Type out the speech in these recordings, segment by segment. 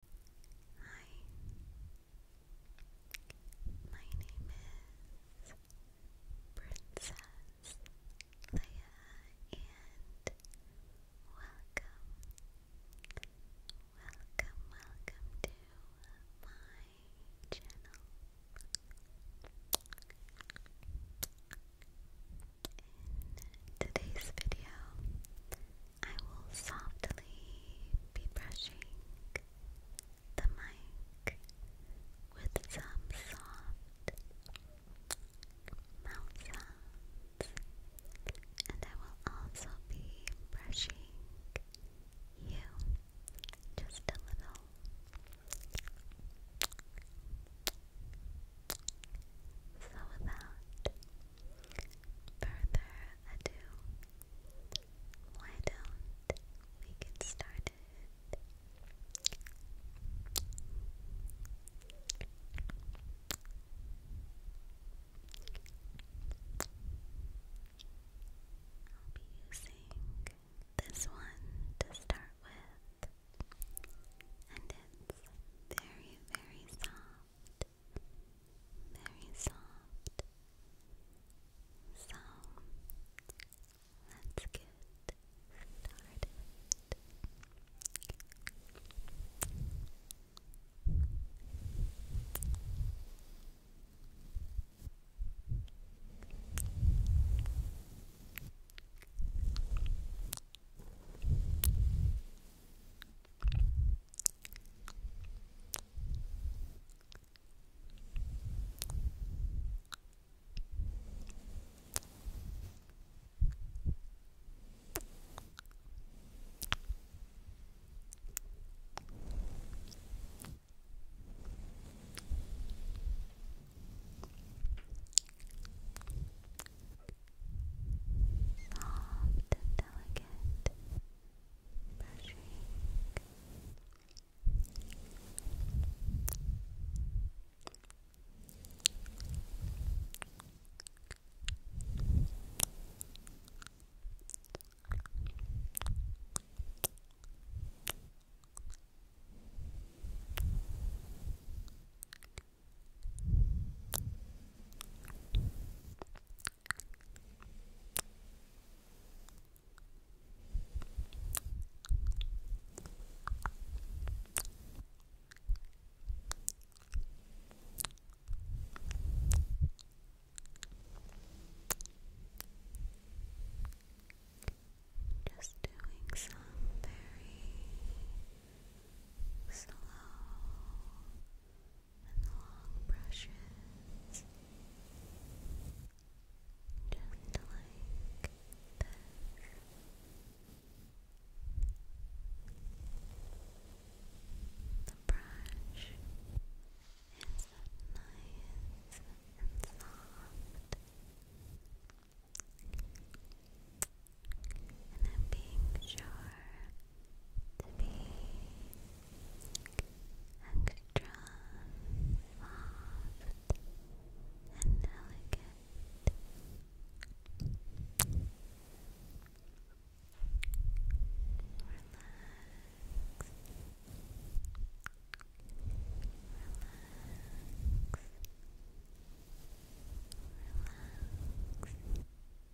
Hi, my name is Princess Leia, and welcome, welcome, welcome to my channel. today's video, I will softly be brushing the mic with some soft mouth and I will also be brushing you just a little. So without further ado, why don't we get started? I'll be using this one to start with, and it's very, very soft very soft. So let's get Soft and delicate brushing. Brushing, just doing some very slow and the long brushes, just like this. The brush is nice and soft, and I'm being sure to be extra soft and delicate. Relax. Relax. Relax.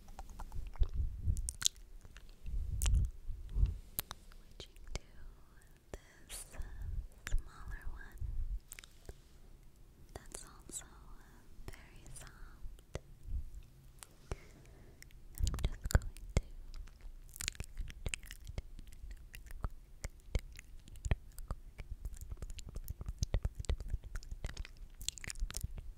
Switching to this smaller one that's also very soft. I'm just going to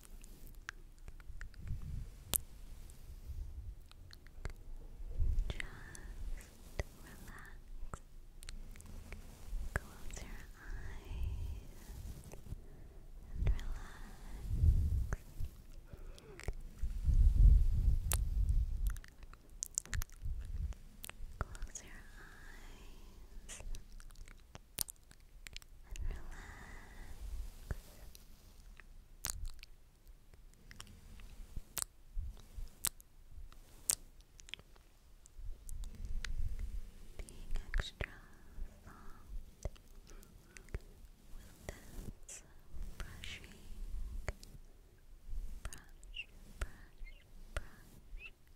relax. Close your eyes and relax. Close your eyes and relax. Being extra soft with this brushing, brush, brush, brush.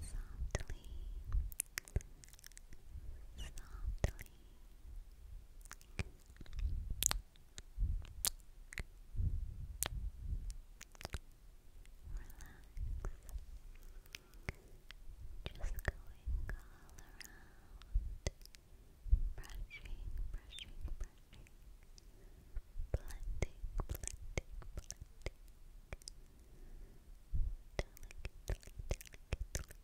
softly softly. Relax. Just going all around. Brushing, brushing, brushing. Blending, blending, blending. Delicately, delicately,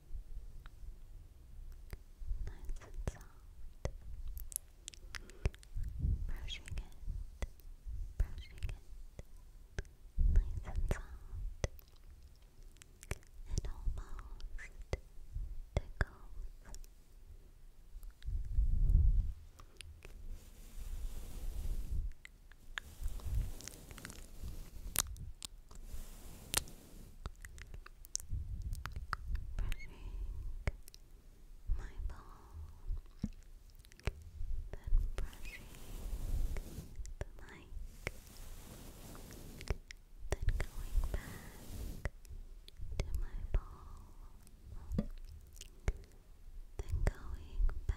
Nice and soft. Brushing it, brushing it, nice and soft. It almost tickles my ball, then brushing the mic, then going back to my ball, then going back.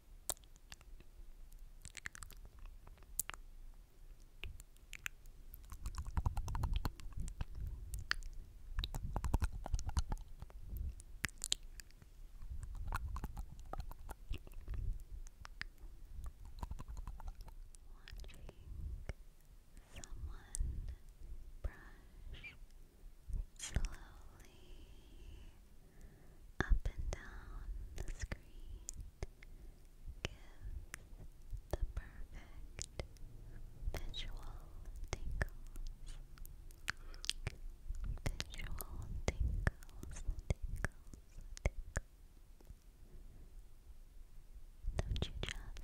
Watching someone brush slowly up and down the screen gives the perfect visual tingles. Visual tingles, tingles, tingles. Don't you just love it?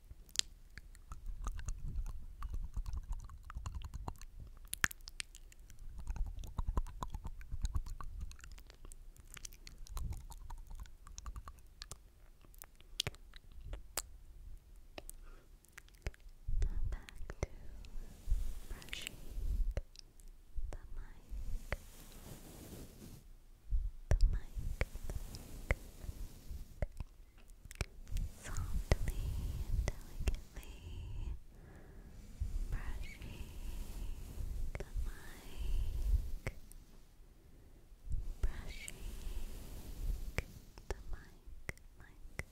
brushing the mic the mic, the mic, softly and delicately brushing the mic, brushing the mic, mic, mic.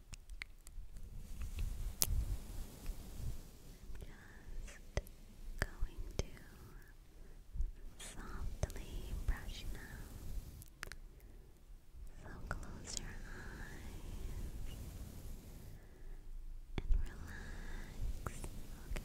Just going to softly brush now. So close your eyes and relax, okay?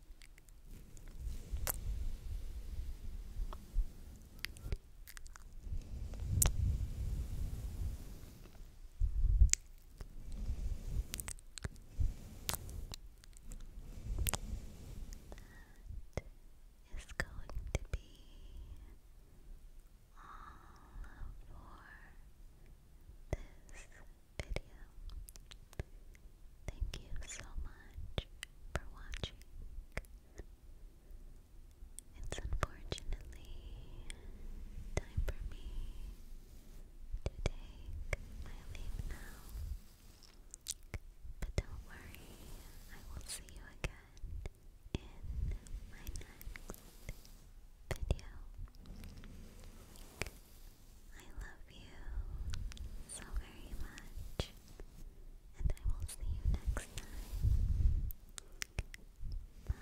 That is going to be all for this video. Thank you so much for watching. It's unfortunately time for me to take my leave now. But don't worry, I will see you again in my next video. I love love you so very much, and I will see you next time. Bye.